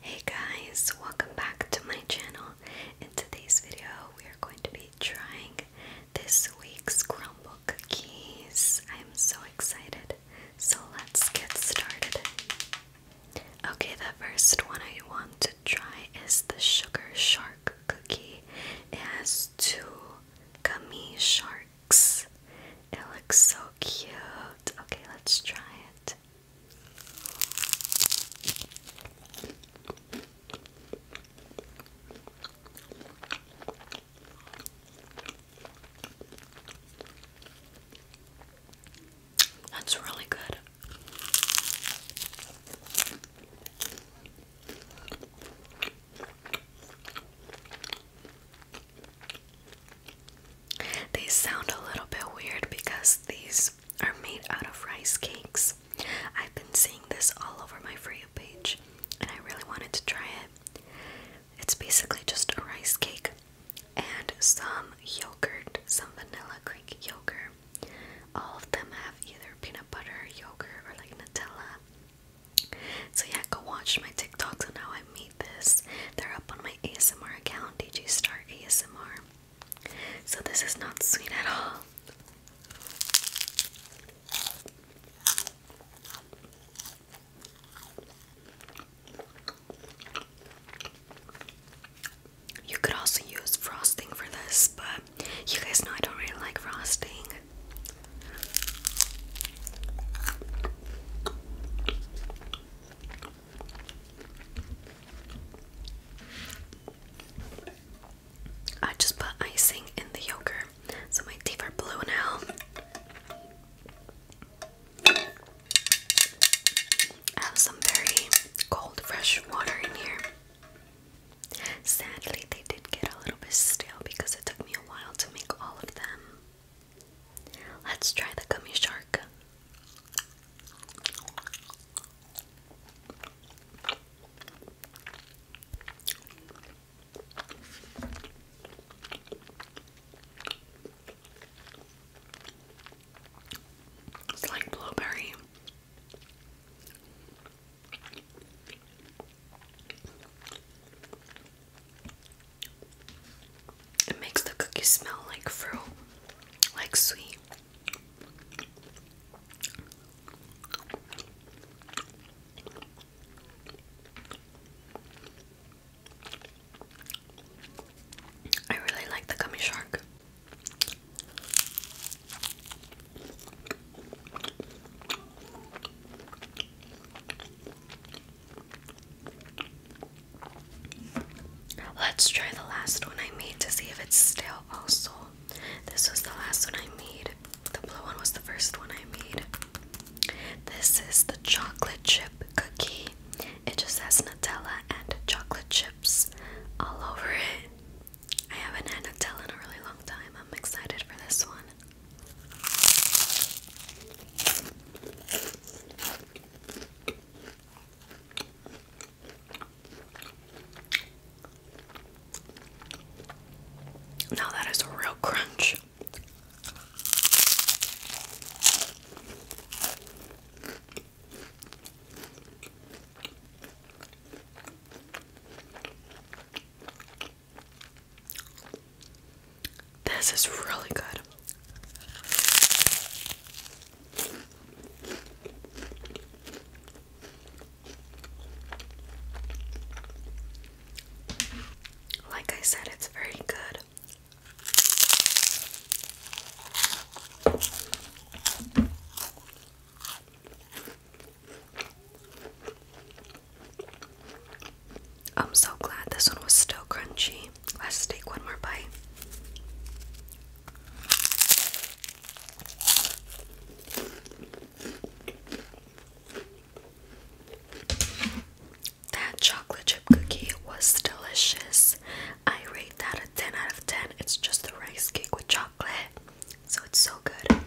Hey guys, welcome back to my channel. In today's video, we are going to be trying this week's Chromebook keys. I am so excited. So let's get started. Okay, the first one I want to try is the Sugar Shark cookie. It has two gummy sharks. It looks so cute. Okay, let's try it. That's really good. They sound a little bit weird because these are made out of rice cakes. I've been seeing this all over my For You page and I really wanted to try it. It's basically just a rice cake and some yogurt, some vanilla Greek yogurt. All of them have either peanut butter, yogurt, or like Nutella. So yeah, go watch my TikToks on how I. I this. They're up on my ASMR account, DJ Star ASMR. So this is not sweet at all. You could also use frosting for this, but you guys know I don't really like frosting. I just put icing in the yogurt, so my teeth are blue now. I have some very cold, fresh water in here. Sadly, they did get a little bit stale because it took me a while to make all of them. Let's try the gummy shark. It's like blueberry. It makes the cookie smell like fruit, like sweet. I really like the gummy shark. Let's try the last one I made to see if it's still also. This was the last one I made. The blue one was the first one I made. This is the chocolate chip cookie. It just has Nutella and chocolate chips all over it. I haven't had Nutella in a really long time. I'm excited for this one. Now that is a real crunch. This is really good. Like I said, it's very good. I'm so glad this one was still crunchy. Let's take one more bite. That chocolate chip cookie was delicious. I rate that a 10 out of 10. It's just a rice cake with chocolate. So it's so good.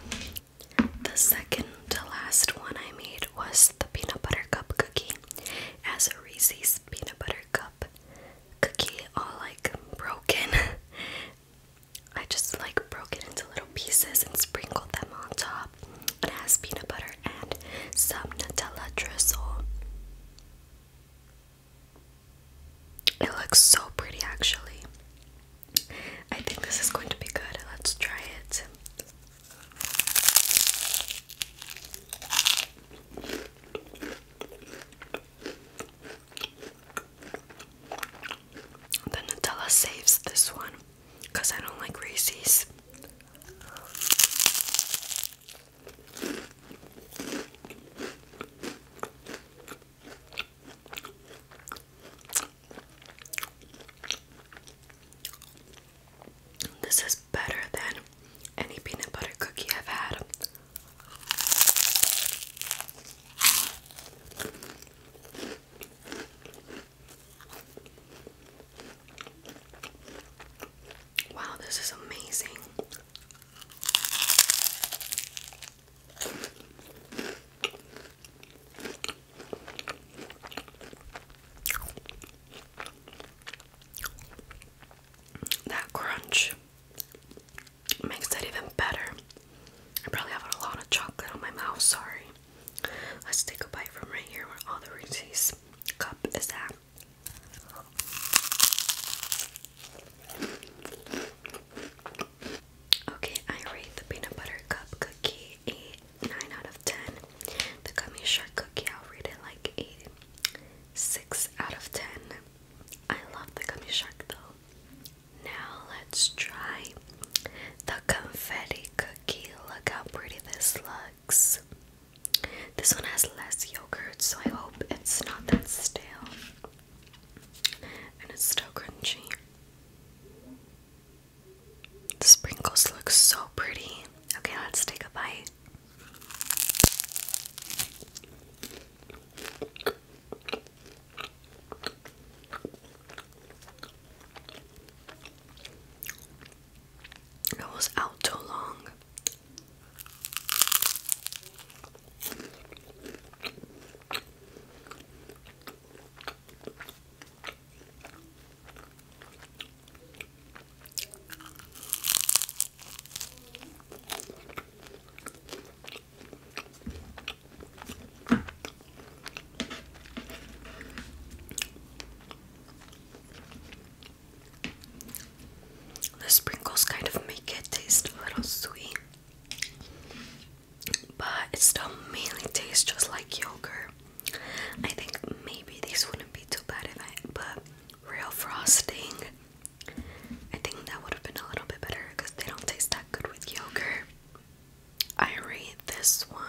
The second to last one I made was the peanut butter cup cookie as a Reese's peanut butter cup cookie, all like broken. I just like broke it into little pieces and sprinkled them on top. It has peanut butter and some Nutella drizzle. It looks so pretty actually. I think this is going to be good. Let's try it. The Nutella saves this one because I don't like Reese's. This is better than any peanut butter cookie I've had. Wow, this is amazing. That crunch makes it even better. I probably have a lot of chocolate on my mouth, sorry. Let's take a bite from right here where all the Reese's cup is at. Okay, I rate the peanut butter cup cookie a 9 out of 10. The gummy shark cookie, I'll rate it like a 6 out of 10. I love the gummy shark though. Now let's try the confetti cookie. Look how pretty this looks. This one has less yogurt, so I hope it's not that stale. And it's still crunchy. The sprinkles look so pretty. Okay, let's take a bite. I was out too long. The sprinkles kind of make it taste a little sweet, but it still mainly tastes just like yogurt. I think maybe these wouldn't be too bad if I put real frosting. I think that would have been a little bit better because they don't taste that good with yogurt. I rate this one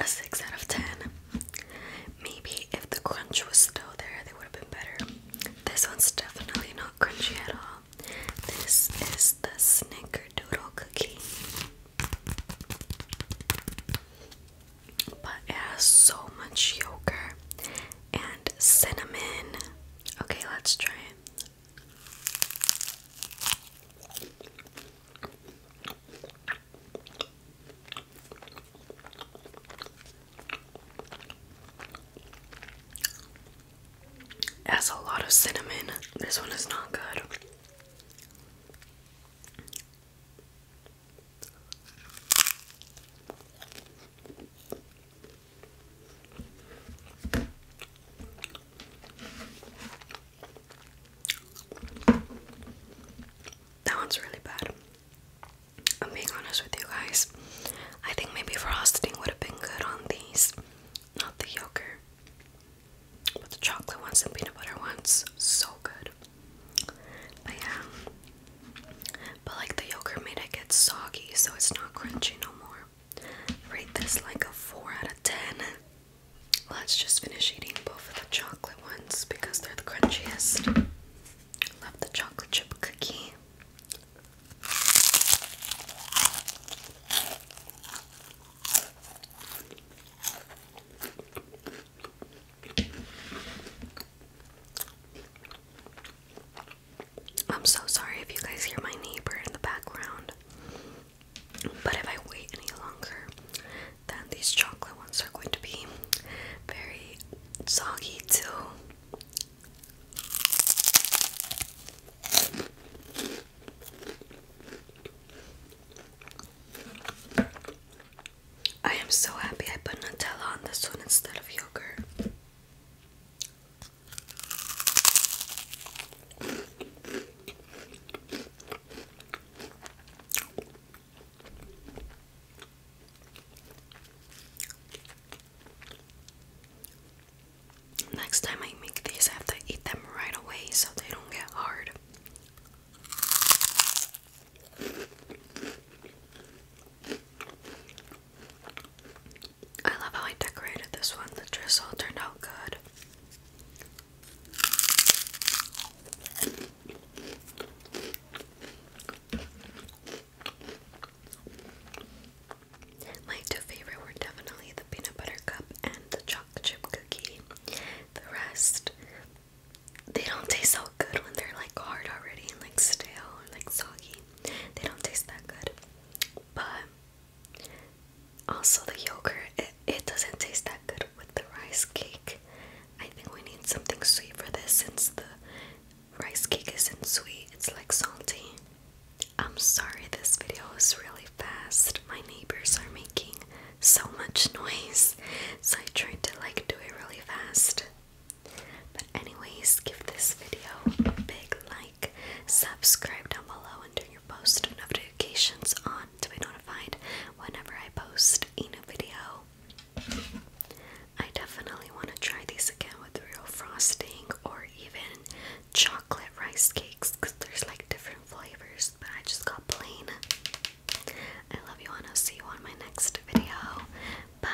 a 6 out of 10. Maybe if the crunch was still there, they would have been better. This one's definitely not crunchy at all. This is the Snickerdoodle cookie. But it has so much yogurt and cinnamon. Okay, let's try it. It has a lot of cinnamon. This one is not good. That one's really bad. I'm being honest with you guys. I think maybe frosting would have been good on these. Not the yogurt. But the chocolate ones and peanut butter ones. So good. But yeah. But like the yogurt made it get soggy, so it's not crunchy no more. Rate this like a 4 out of 10. Let's just finish eating both of the chocolate ones because they're the crunchiest. Love the chocolate chip cookie. I'm so sorry if you guys hear my neighbor in the background. But if I wait any longer, then these chocolate ones are going to be very soggy too. I am so happy I put Nutella on this one instead of yogurt. Next time I make these, I have to eat them right away so they don't get hard. I love how I decorated this one. The drizzle turned out good. My two favorite were definitely the peanut butter cup and the chocolate chip cookie. The rest, they don't taste so good when they're like hard already and like stale like soggy. They don't taste that good. But also, the yogurt, it, doesn't taste that good with the rice cake. I think we need something sweet for this since the rice cake isn't sweet, it's like salty. I'm sorry this video is really fast. My neighbors are making so much noise, so I tried to like do it really fast. But anyways, give this video a big like subscribe down below, and turn your post notifications on to be notified whenever I post a new video. I definitely want to try these again with real frosting or even chocolate rice cakes because there's like different flavors, but I just got plain. I love you, and I'll see you on my next video. Bye.